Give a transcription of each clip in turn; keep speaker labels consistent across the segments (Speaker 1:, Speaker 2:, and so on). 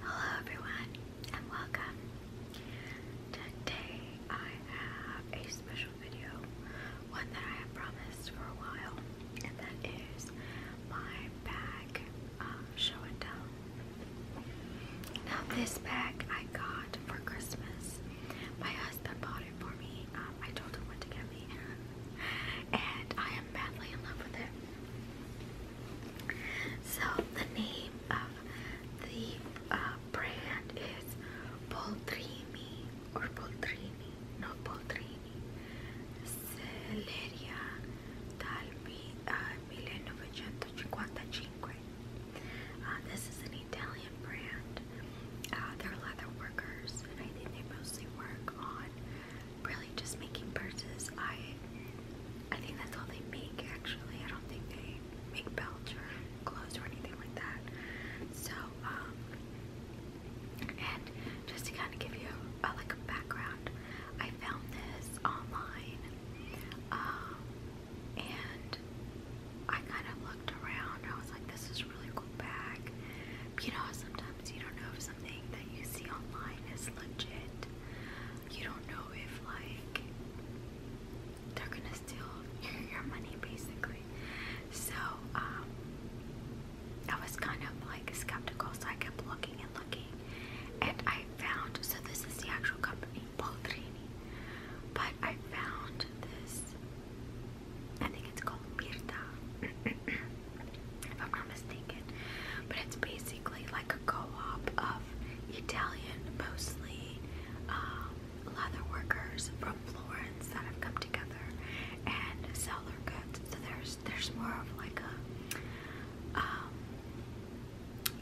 Speaker 1: Hello everyone and welcome. Today I have a special video, one that I have promised for a while, and that is my bag show and tell. this bag I got for Christmas. My husband bought it for me. Um, I told him what to get me, and I am badly in love with it. So the name of the uh, brand is Poltrini or Poltrini, no Poltrini, Celeria dal uh, 1955. Uh, this is an Italian brand. Uh, they're leather workers, and I think they mostly work on really just making purses. I I think that's all they make actually. I don't think they make belts or clothes or anything like that. So, um, and just to kind of give you uh, like a background, I found this online. Um, and I kind of looked around. I was like, this is really cool bag. You know, sometimes you don't know if something that you see online is legit you don't know if like they're gonna steal your, money basically. So um, I was kind of like skeptical, so I kept looking and looking, and I found. So this is the actual company, Poltrini, but I found this. I think it's called Mirta, if I'm not mistaken. But it's based basically like a co-op of Italian, mostly um, leather workers from Florence that have come together and sell their goods. So there's there's more of like a um,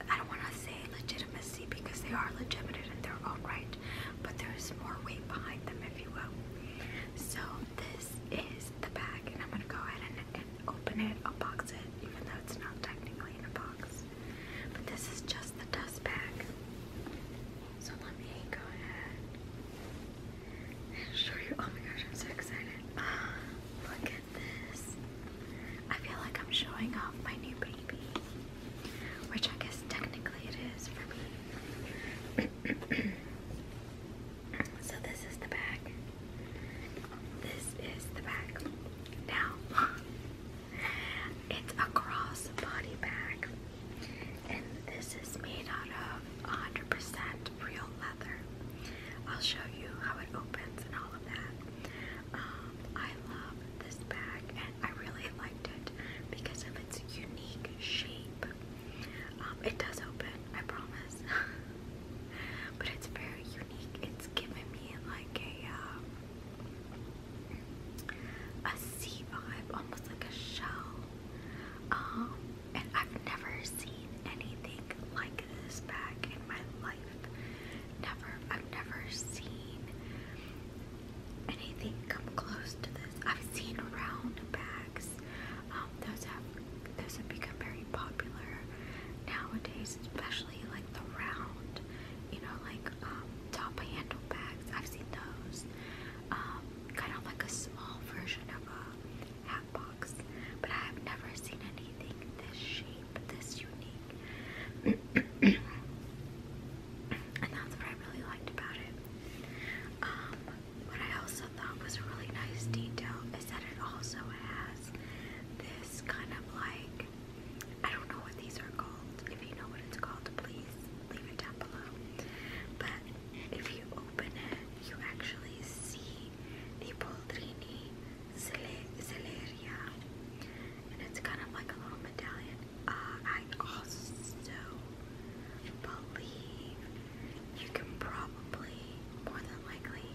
Speaker 1: I don't want to say legitimacy because they are legitimate in their own right, but there's more weight behind them, if you will. So this is the bag, and I'm gonna go ahead and open it, I'll box it, even though it's not technically in a box. But this is just the dust bag. So let me go ahead and show you. Oh my gosh, I'm so excited. Ah, look at this. I feel like I'm showing off my new baby, which I guess technically it is for me. so, this is the bag. This is the bag. Now, it's a cross bag, and this is made out of 100% real leather. I'll show you how it opens and all of that. Um, I love this bag, and I really liked it because of its unique shape. Um, it does open, I promise. but it's very unique. It's giving me like a uh, vibe, almost like a shell. Um, and I've never seen anything like this bag in my life. Never, I've never seen anything come close to this. I've seen round bags. Um, those have those become very popular nowadays, especially like the round, you know, like um, top handle bags. I've seen those. Um, kind of like a small version of a hat box, but I have never seen anything this shape, this unique. and that's what I really liked about it. Um, I also thought was a really nice detail is that it also has has this kind of like, I don't know what these are called. If you know what it's called, please leave it down below. But if you open it, you actually see the Poldrini Celeria. And it's kind of like a little medallion. Uh, I also believe you can probably, more than likely,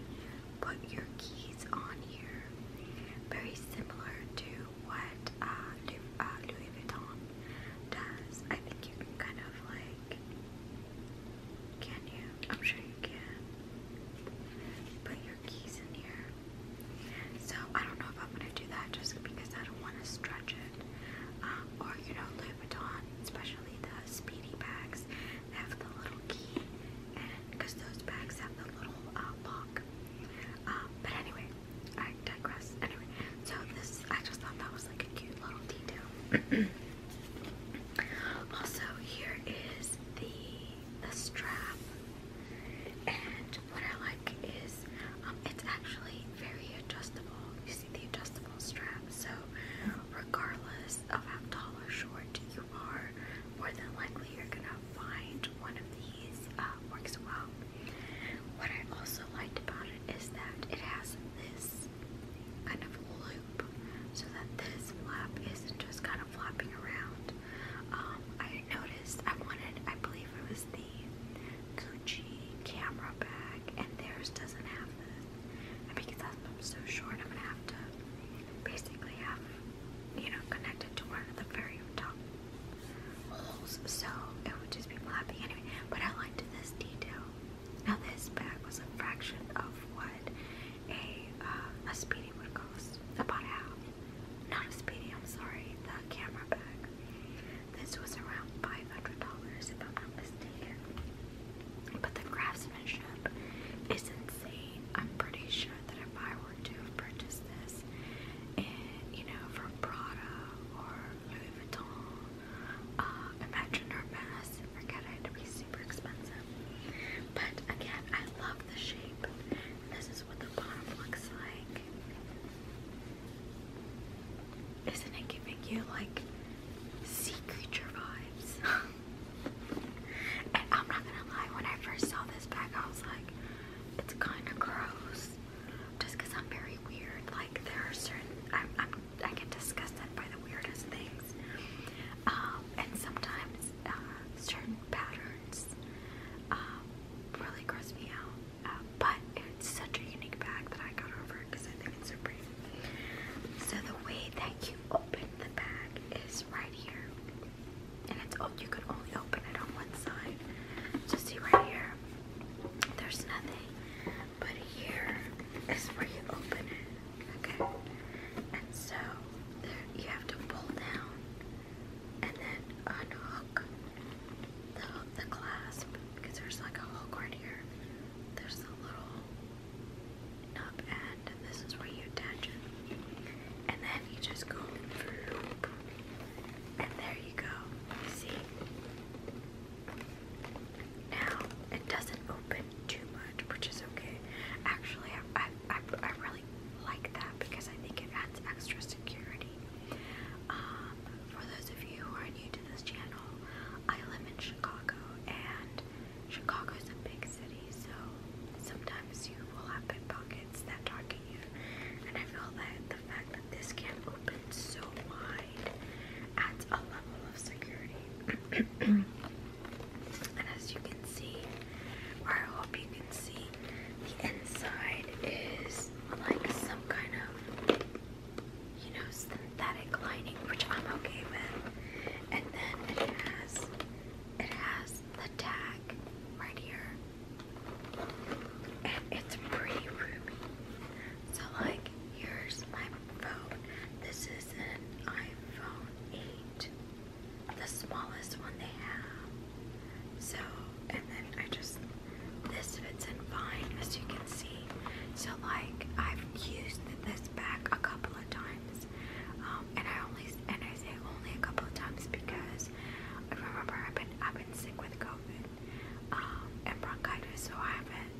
Speaker 1: put your keys on here. Very similar to what uh, uh, Louis, Vuitton does. I think you can kind of like, can you? I'm sure you can. Put your keys in here. So I don't know if I'm gonna do that just because I don't want to stretch it. Um, or you know, Louis Vuitton, especially the Speedy bags have the little key, because those bags have the little uh, lock. Um, but anyway, I digress. Anyway, so this I just thought that was like a cute little detail. also, here is the the strap, and what I like is um, it's actually very adjustable. You see the adjustable strap, so regardless regardless of short you are, more than likely you're gonna find one of these uh, works well. What I also liked about it is that it has this kind of loop so that this flap isn't just kind of flapping around. Um, I noticed I wanted, I believe it was the Gucci camera bag, and theirs doesn't have this. And because I'm so short, I'm gonna have to basically have, you know, connect to one of the very top so it would just be flapping anyway. But I liked this detail. Now this bag was a fraction of what a uh, a speedy would cost, about half. Not a speedy, I'm sorry, the camera bag. This was around five hundred dollars, if I'm not mistaken. But the craftsmanship is insane. I'm pretty sure that if I were to have purchased this, you know, from Prada or Louis Vuitton, uh, imagine her forget it, it be super expensive. But again, I love the shape. This is what the bottom looks like. Isn't it giving you like sea creature vibes? I'm not gonna lie, when I first saw this bag, I was like, it's kind of gross. Just I'm very weird. Like, there are certain, I'm, i get disgusted by the weirdest things. Um, and sometimes uh, certain patterns um, really gross me out. Uh, but it's such a unique bag that I got over because I think it's so pretty. So the way that you open the bag is right here and it's oh you can only open it on one side. Just see right here, there's nothing, but here is where you open it, okay? And so there you have to pull down and then unhook the the clasp because there's like a hook right here. There's a little knob end and this is where you attach it. And then you just go through, and there you go. See? Now, it doesn't open too much, which is okay. Actually, I, I, I really like that because I think it adds extra security. Um, for those of you who are new to this channel, I live in Chicago, and Chicago is a big city. So sometimes you will have pit pockets that target you. And I feel that the fact that this can open so wide adds a level of security. and as you can see, I hope you can see, the inside is like some kind of you know synthetic lining which I'm okay with and then it has it has the tag black right here. And it's pretty roomy. So like here's my phone. This is an iPhone 8. The smallest one they have. So and then I just this fits in fine as you can see. So like I've used this back a couple of times. Um, and I only and I say only a couple of times because I remember I've been I've been sick with COVID um, and bronchitis, so I haven't.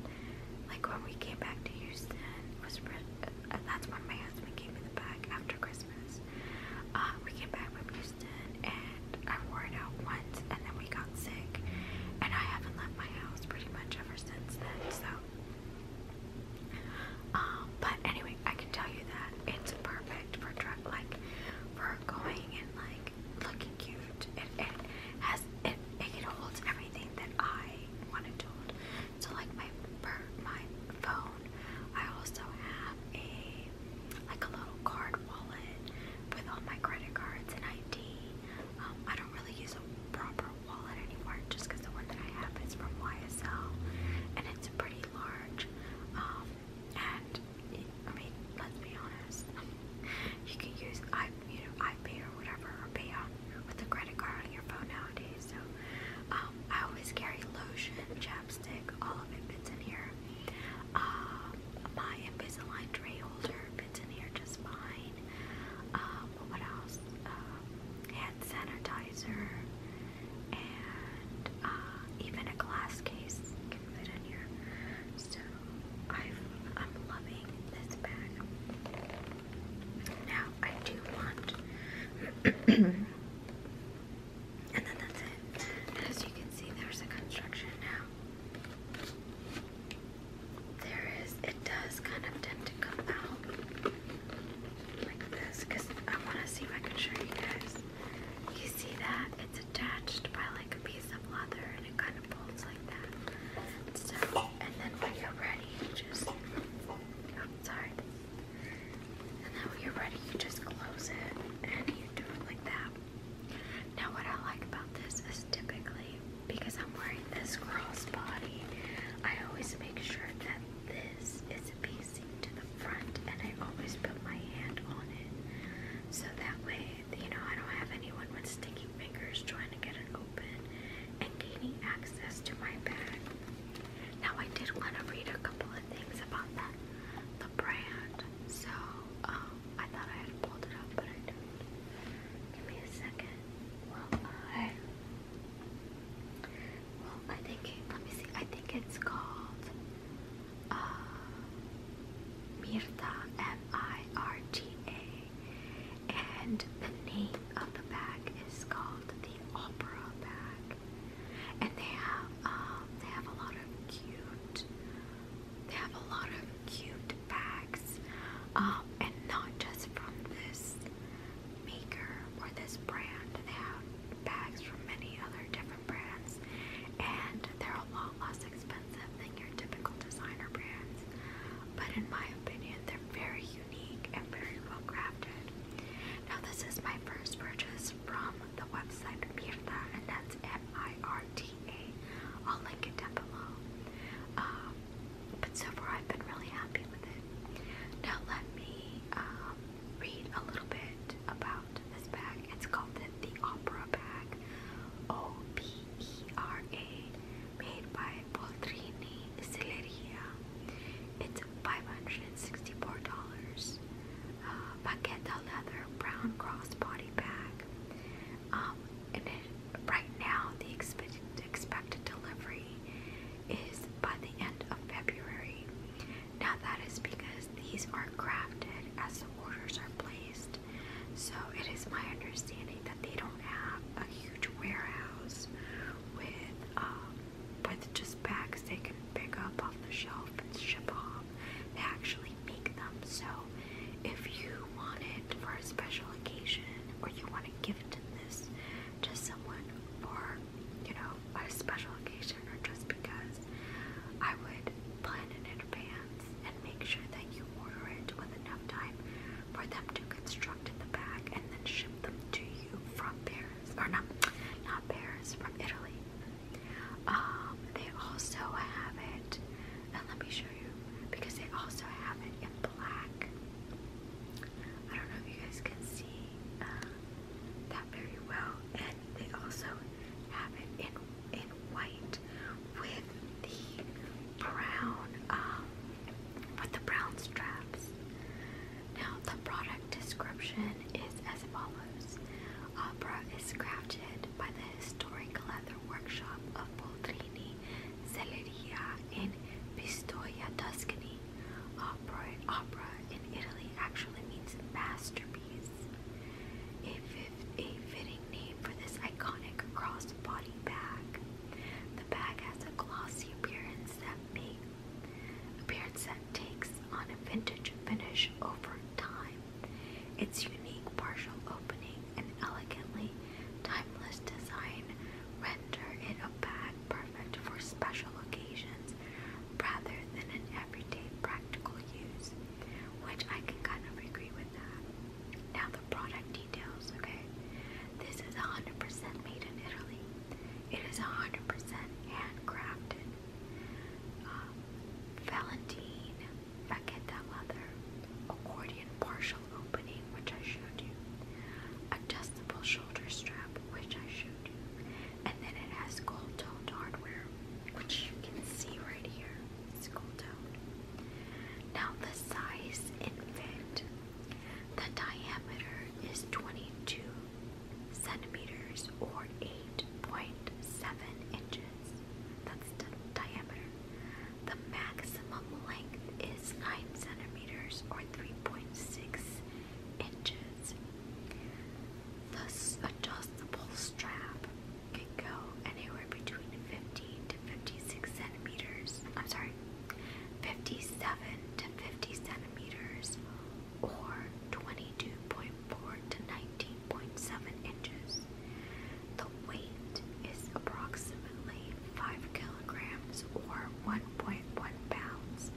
Speaker 1: Like when we came back to Houston, it uh, that's when my husband gave me the bag after Christmas. Uh, we came back from Houston and I wore it out once, and then we got sick, and I haven't left my house pretty much ever since then. So um, but anyway, I can tell you that it's perfect for like for going and like looking cute. It, it has it, it holds everything that I wanted to hold. So like my per, my phone, I also have a like a little card wallet with all my credit cards and ID. Um, I don't really use a proper wallet anymore just because the one that I have is from YSL and it's pretty large. Um, and I mean, let's be honest, you can use i you know iPay or whatever or pay out with the credit card on your phone nowadays. So um, I always carry lotion, chapstick, all of it fits in here. Um, my Invisalign tray holder fits in here just fine. Um, what else? Um, hand sanitizer and uh, even a glass case can fit in here. So i am loving this bag. Now I do want, and then that's it. as you can see, there's a construction now. There is, it does kind of tend to come out like this because I want to see if I can show you guys. You see that? It's attached by like a piece of leather and it kind of pulls like that. and then when you're ready, you just. Oh, sorry. And then when you're ready, you just close it and you do it like that. Now, what I like about this is typically because I'm wearing this girl's I always make sure that this is being to the front and I always put my hand on it. So that way, you know, I don't have anyone with sticky fingers trying to get it open and gaining access to my bag. Now I did want to read a couple of things about the brand. So um, I thought I had pulled it up, but I don't. Give me a second. Well, I, well, I think. let me see. I think it's called uh, Mirta, M-I-R-T-A, and the name of the bag is called the Opera bag, and they have um, they have a lot of cute they have a lot of cute bags, um, and not just from this maker or this brand. They have bags from many other different different brands, and they're a lot less expensive than your typical designer brands. But in my opinion, they're very unique and very well crafted. Now, this is my first purchase from the website Mirta, and that's M I R T A. I'll link it down below. Um, but so far, I've been really happy with it. Now, let me um, read a little bit about this bag. It's called the, Opera Bag, O P E R A, made by Poltrini Silleria. It's $564. Uh, Paqueta leather brown crossbody bag. Um, and it, right now, the expected, expected delivery is by the end of February. Now that is because these are crafted as the orders are placed. So it is my understanding that they don't have a huge warehouse with um, with just bags they can pick up off the shelf and ship off. They actually make them. So if you want it for a special occasion or you want to give it to this to someone for you know a special occasion or just because I would plan in advance and make sure that you order it with enough time for them to construct the bag and then ship them to you from Paris or not not Paris from Italy. Um, they also have it and let me show you because they also have it in black. I don't know if you guys can see uh, that very well they also have it in in white with the brown um, with the brown straps. Now the product description is as follows: Opera is crafted by the historic leather workshop of Boldrini, Selleria in Pistoia, Tuscany. Opera, opera in Italy actually means masterpiece. A, fitting name for this iconic crossbody bag. The bag has a glossy appearance that may appearance that takes on a vintage finish over time. Its unique partial opening and elegantly timeless design render it a bag perfect for special occasions rather than an everyday practical use which I can kind of agree with that. Now the product details, okay? This is 100% made in Italy. It is 100% handcrafted. Um, Valentine Vaqueta leather, accordion partial opening, which I showed you, adjustable shoulder strap, which I showed you, and then it has gold toned hardware, which you can see right here. gold toned. Now the size and The diameter is 22 centimeters or 8.7 inches. That's the diameter. The maximum length is 9 centimeters or 3.6 inches. This adjustable strap can go anywhere between 50 to 56 centimeters. I'm sorry, 57 to 50 centimeters or 22.4 to 19.7 inches. The weight is approximately 5 kilograms or 1.1 pounds.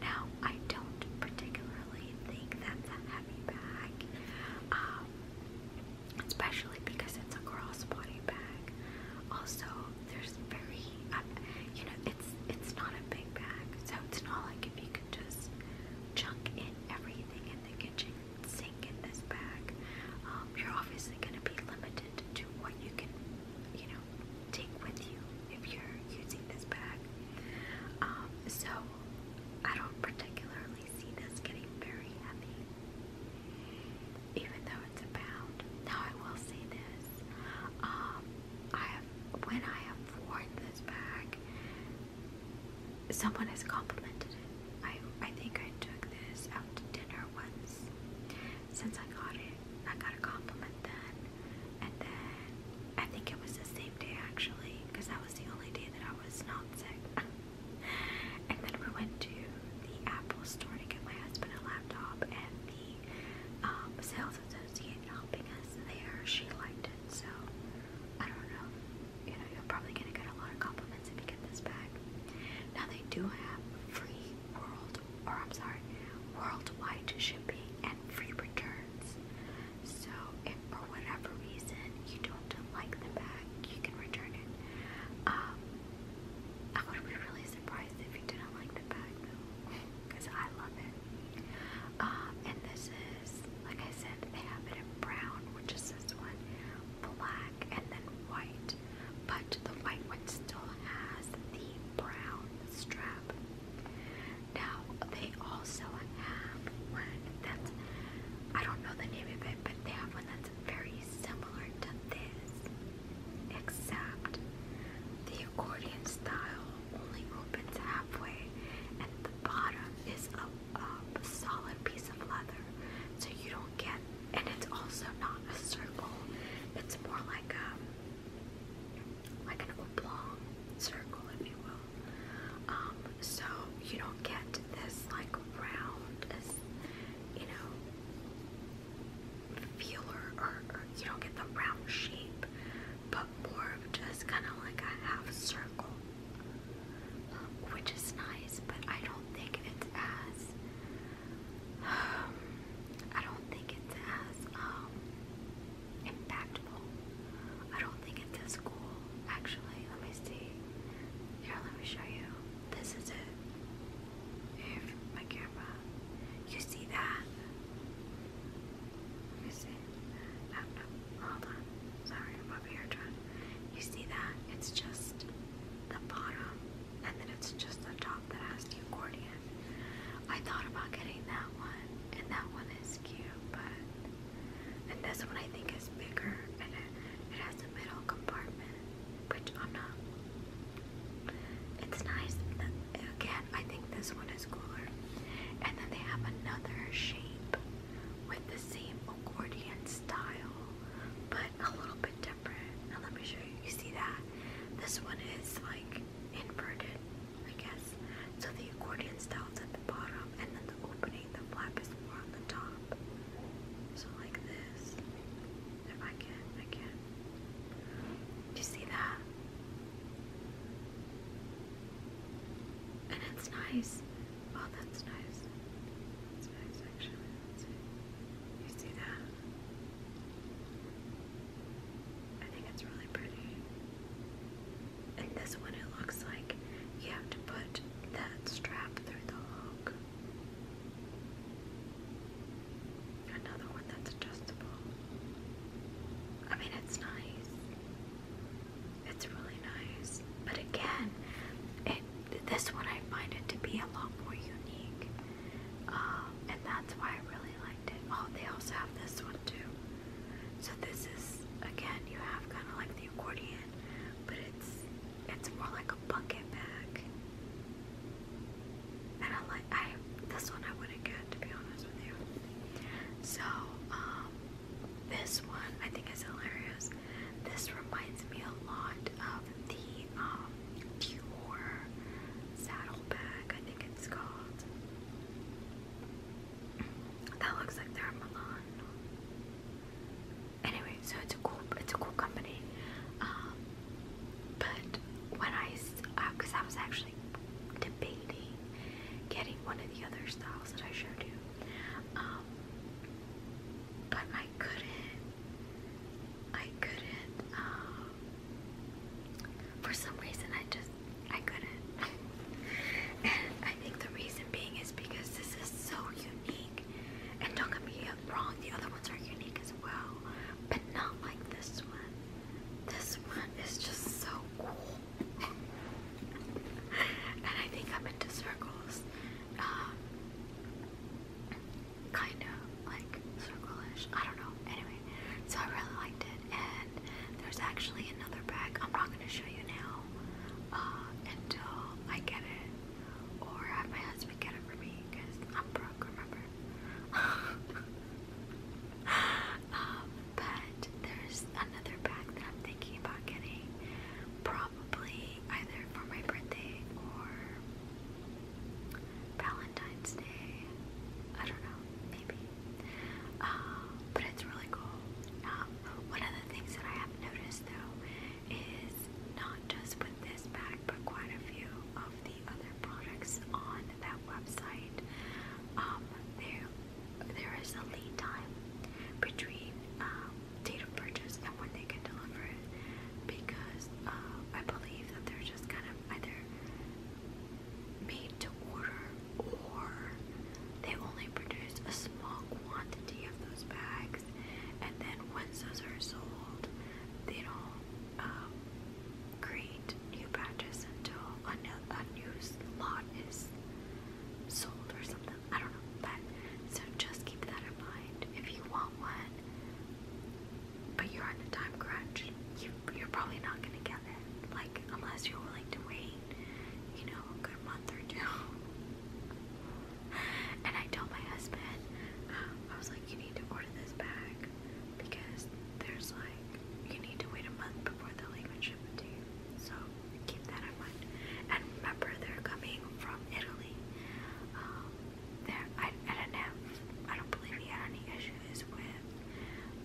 Speaker 1: Now, I don't particularly think that's a um, especially because it's a crossbody bag. Also, there's very, um, you know, it's it's not a big bag, so it's not like if you could just chunk in everything in the kitchen sink in this bag. Um, you're obviously going to be limited to what you can, you know, take with you if you're using this bag. Um, so I don't particularly see this getting very heavy, even though it's a pound. Now I will say this: um, I have when I have worn this bag, someone has complimented it. I I think I took this out to dinner once. Since I got it, I got a compliment then, and then I think it was the same day actually, because that was the only day that I was not sick. and then we went to the Apple store to get my husband a laptop, and the um, sales associate helping us there, she liked it. So I don't know. You know, you're probably gonna get a lot of compliments if you get this bag. Now they do have free world, or I'm sorry, worldwide shipping and free returns. So if for whatever reason you don't like the bag, you can return it. Um, I would be really surprised if you didn't like the bag though, because I love it. Um, and this is, like I said, they have it in brown, which is this one, black, and then white. But the white one still has the brown strap. Now they also have one that's I don't know the name of it, but they have one that's very similar to this, except the accordion style only opens halfway, and the bottom is a, solid piece of leather, so you don't get. And it's also not a circle; it's more like a um, like an oblong circle, if you will. Um, so you don't get this like round, you know, feeler, or, you don't get the round shape, but more of just kind of like a half circle, um, which is nice. But I don't think it's as, I don't think it's as um, impactful do think it's this cool. Actually, let me see. Here, let me show you. This is it. Here's my camera. You see that? You see? I uh, do uh, Hold on. Sorry, I'm over here trying. You see that? It's just the bottom, and then it's just the top that has the accordion. I thought about getting that one, and that one is cute, but and this one I think is bigger and it, has a middle compartment, which I'm not. It's nice. Again, I think this one is cooler. And then they have another shape with the same accordion style, but a little bit different. Now let me show you. You see that? This one is like inverted, I guess. So the accordion style's at the bottom and then the opening, the flap is more on the top. So like this. If I can, I can. Do you see that? And it's nice. Oh, that's nice. That's nice, actually. You see that? I think it's really pretty. And this one it looks like you have to put that strap through the hook. Another one that's adjustable. I mean, it's nice. It's really nice. But again, it, this one I find it to be a lot more unique. Um, and that's why I really liked it. Oh, they also have this one too. So this is, again, you have kind of like the but it's it's more like a bucket bag. And I like I this one I wouldn't get to be honest with you. So um, this one I think is hilarious. This reminds me a lot of the um, Dior saddle bag. I think it's called. That looks like they're in Milan. Anyway, so it's a cool, it's a cool company. Um, but when I, because uh, I was actually debating getting one of the other styles that I sure do, um, but I couldn't. I couldn't. Uh, for some reason, I just I couldn't. I think the reason being is because this is so unique. And don't get me wrong, the other ones are unique as well, but not like this one. This one is just so cool. and I think I'm into circles. Um, kind of like circle-ish. I don't know. Anyway, so I really liked it. And there's actually another bag. I'm not going to show you now uh, until um, I get it, or have my husband get it for me because I'm broke, remember? Um, but there's another bag that I'm thinking about getting, probably either for my birthday or Valentine's Day. I don't know, maybe. Um, but it's really cool. One of the things that I have noticed though is not just with this bag, but quite a few of the other products on that website. Um, there, there is a lead time between um, date of purchase and when they can deliver it, because uh, I believe that they're just kind of either made to order or they only only produce a small quantity of those bags, and then once those are sold, they don't um, create new batches until a new, a new lot is sold or something. I don't know, but so just keep that in mind. If you want one, but you're on a time crunch, you, you're probably not gonna get it. Like unless you're willing to wait, you know, a good month or two. And I told my husband, um, I was like, you need to order this back because there's like, you need to wait a month before they'll ship So keep that in mind. And remember, they're coming from Italy. Um, there, I, I not have, I don't believe he had any issues with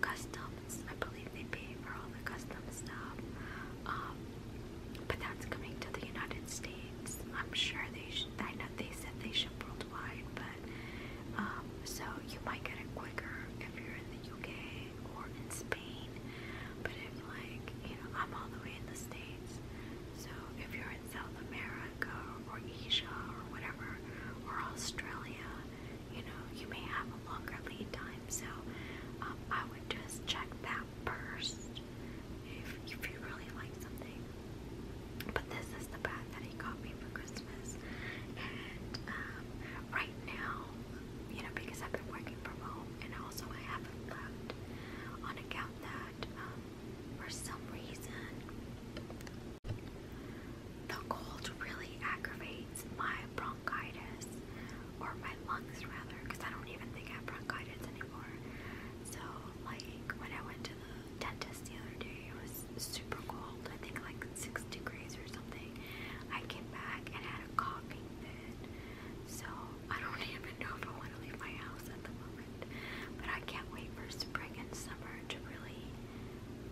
Speaker 1: customs. I believe they pay for all the custom stuff. Um, but that's coming to the United States. I'm sure they I know they said they ship worldwide, but um, so you might get it quicker if you're in the UK or in Spain. But if like you know, I'm all the way in the States. So if you're in South America or Asia or whatever, or Australia, you know, you may have a longer lead time. So um, I would just check that first if, you really like something. But this is the bat that he got me for Christmas. And um, right now, you know, because I've been working from home and also I haven't left on account that um, for some reason the cold really aggravates my bronchitis or my lungs rather, because I don't even think I have bronchitis anymore. So, like, when I went to the dentist the other day, it was super cold, I think like 6 degrees or something. I came back and had a coughing fit. So, I don't even know if I want to leave my house at the moment. But I can't wait for spring and summer to really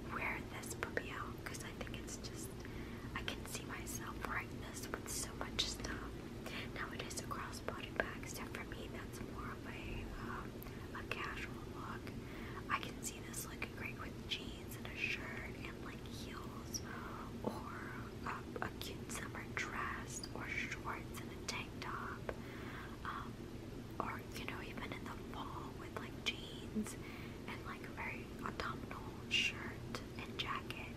Speaker 1: wear this puppy out because I think it's just, I can see myself wearing this with so much stuff. Now it is a crossbody bag, except for me, that's more of a, um, a casual look. I can see this looking great with jeans and a shirt and like heels, or a, cute summer dress, or shorts and a tank top, um, or you know, even in the fall with like jeans and like a very autumnal shirt and jacket.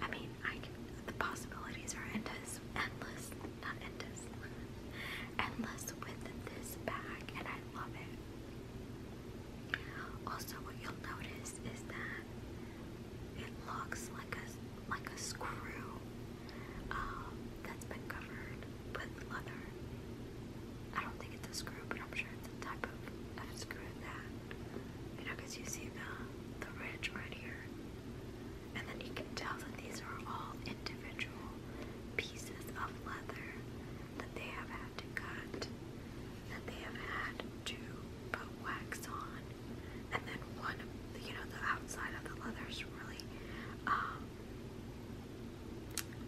Speaker 1: I mean, the possibilities are endless, endless, not endless, endless with this bag, and I love it. Also, what you'll notice is that it looks like a like a screw um, that's been covered with leather. I don't think it's a screw, but I'm sure it's a type of, screw you know, because you see the the ridge where and then you can tell that these are all individual pieces of leather that they have had to cut, that they have had to put wax on. And then one, you know, the outside of the leather is really, um,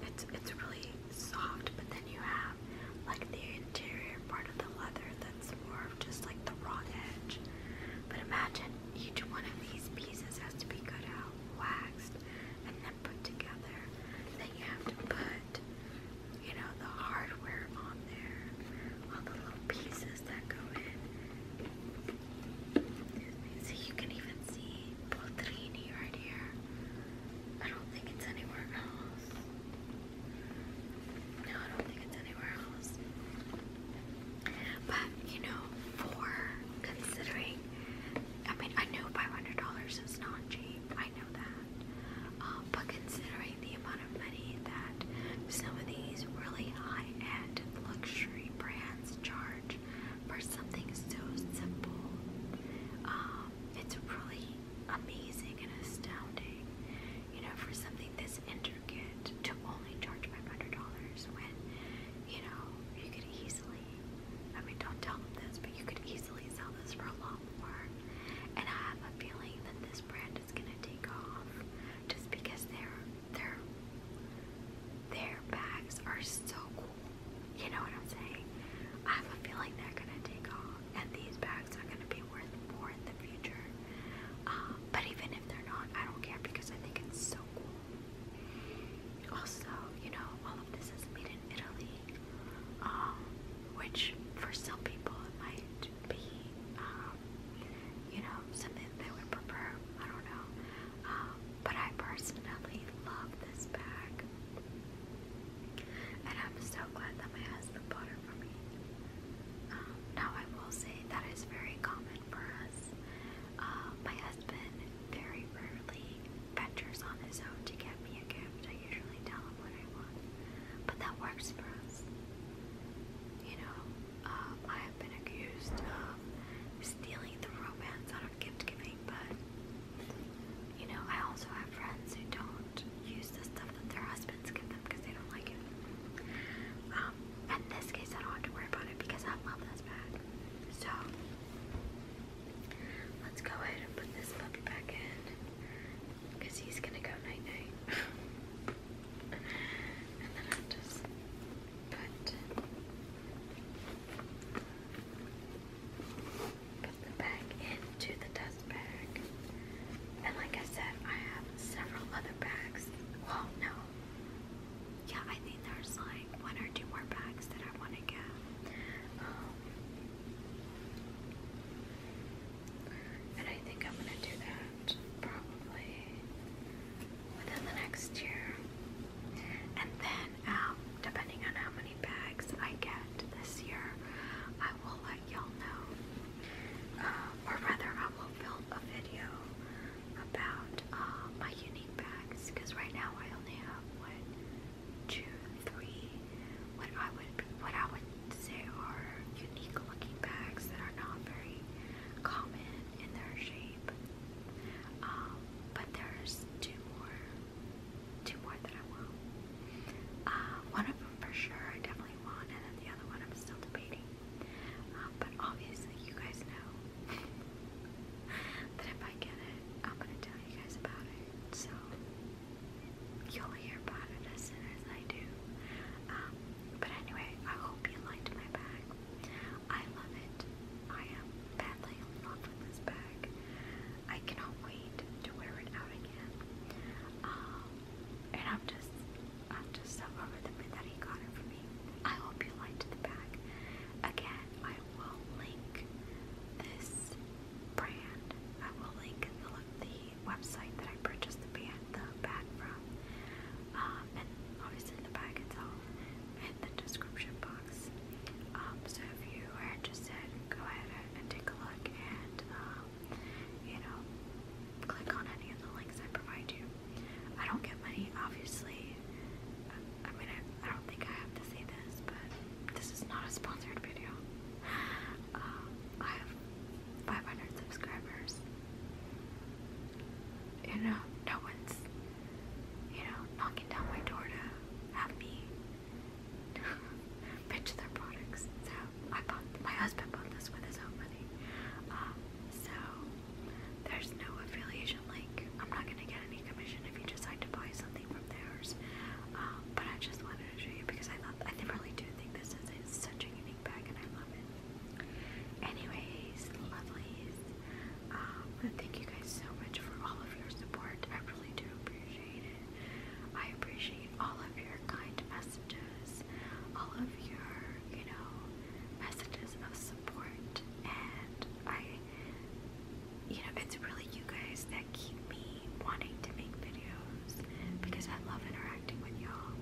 Speaker 1: it's, it's really soft, but then you have like the interior part of the leather that ones more of just like the raw edge. But imagine each one of these pieces has to be cut out, waxed, and then put together. Then you have to put, you know, the hardware on there, all the little pieces that go in. So you can even see Poltrini right here. I don't think it's anywhere else. No, I don't think it's anywhere else. But, you know, for considering, I mean, I know $500 is not cheap, I know that. Um, but considering the amount of money that some of these really high end luxury brands charge for something so simple, um, it's really amazing and astounding. You know, for something this arrogant to only charge $500 when, you know, you could easily, I mean, don't tell them this, but you could easily sell this for a lot more. And I have a feeling that this brand is going to take off just because their, their, their bags are so cool. You know what I'm saying? I have a feeling they're going to take off, and these bags are going to be were born in the future. Um, but even if they're not, I don't care because I think it's so cool. Also, you know, all of this is made in Italy, um, which for some people it might be, um, you know, something they would prefer. I don't know. Um, but I personally love this bag. And I'm so glad that my husband bought it for me. Um, now I will say that is very common for us. Uh, my husband very rarely ventures on his own to get me a gift. I usually tell him what I want, but that works for us. You know, um, I have been accused of stealing the romance out of gift giving, but you know, I also have friends who don't use the stuff that their husband students get them because they don't like it. Um, in this case, I don't have to worry about it because I love this bag. So, let's go ahead and put this puppy back in because he's gonna go night night. and then I'll just put the bag into the dust bag. And like I said, I have several other bags. Well, no. Yeah, I think there's like one or two more bags that I want to get. Um, and I think I'm going to do that probably within the next year. And then, um, depending on how many bags I get this year, I will let y'all know. Um, or rather I will film a video about uh, my unique bags because right now I only have one, two, three, what I would what I would say are unique looking bags that are not very common in their shape. Um, but there's two more, two more that I want. Uh, one of them for sure I definitely want, and then the other one I'm still debating but obviously, you guys know that if I get it, I'm gonna tell you guys about it. So you'll hear about it as soon as I do. Um, but anyway, I hope you liked my bag. I love it. I am badly in love with this bag. I cannot wait to wear it out again. Um, and I'm just, I'm just so over the bit that he got it for me. I hope you liked the bag. Again, I will link this brand. I will link the, website that I purchased the band, the bag from, um, and obviously the bag itself in the description box. Um, so if you are interested, go ahead and take a look and, um, you know, click on any of the links I provide you. I don't get money, obviously. I, mean, I, don't think I have to say this, but this is not a sponsored video. Um, I have 500 subscribers. You know, no one's, you know, knocking down my door to have me pitch their products. So I bought, my husband bought this with his own money. Um, so there's no affiliation link. I'm not gonna get any commission if you decide to buy something from theirs. Um, but I just wanted to show you because I love. I really do think this is, such a unique bag, and I love it. Anyways, lovelies, um, thank you guys so much for all of your support. I really do appreciate it. I appreciate all of your kind messages, all of your, you know, messages of support, and I, you know, it's really you guys that keep me wanting to make videos because I love interacting with y'all.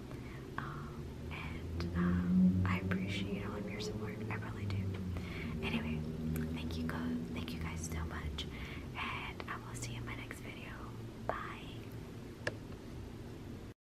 Speaker 1: Um, and um, I appreciate all of your support. I really do. Anyway, thank you, guys. Thank you guys so much, and I will see you in my next video. Bye.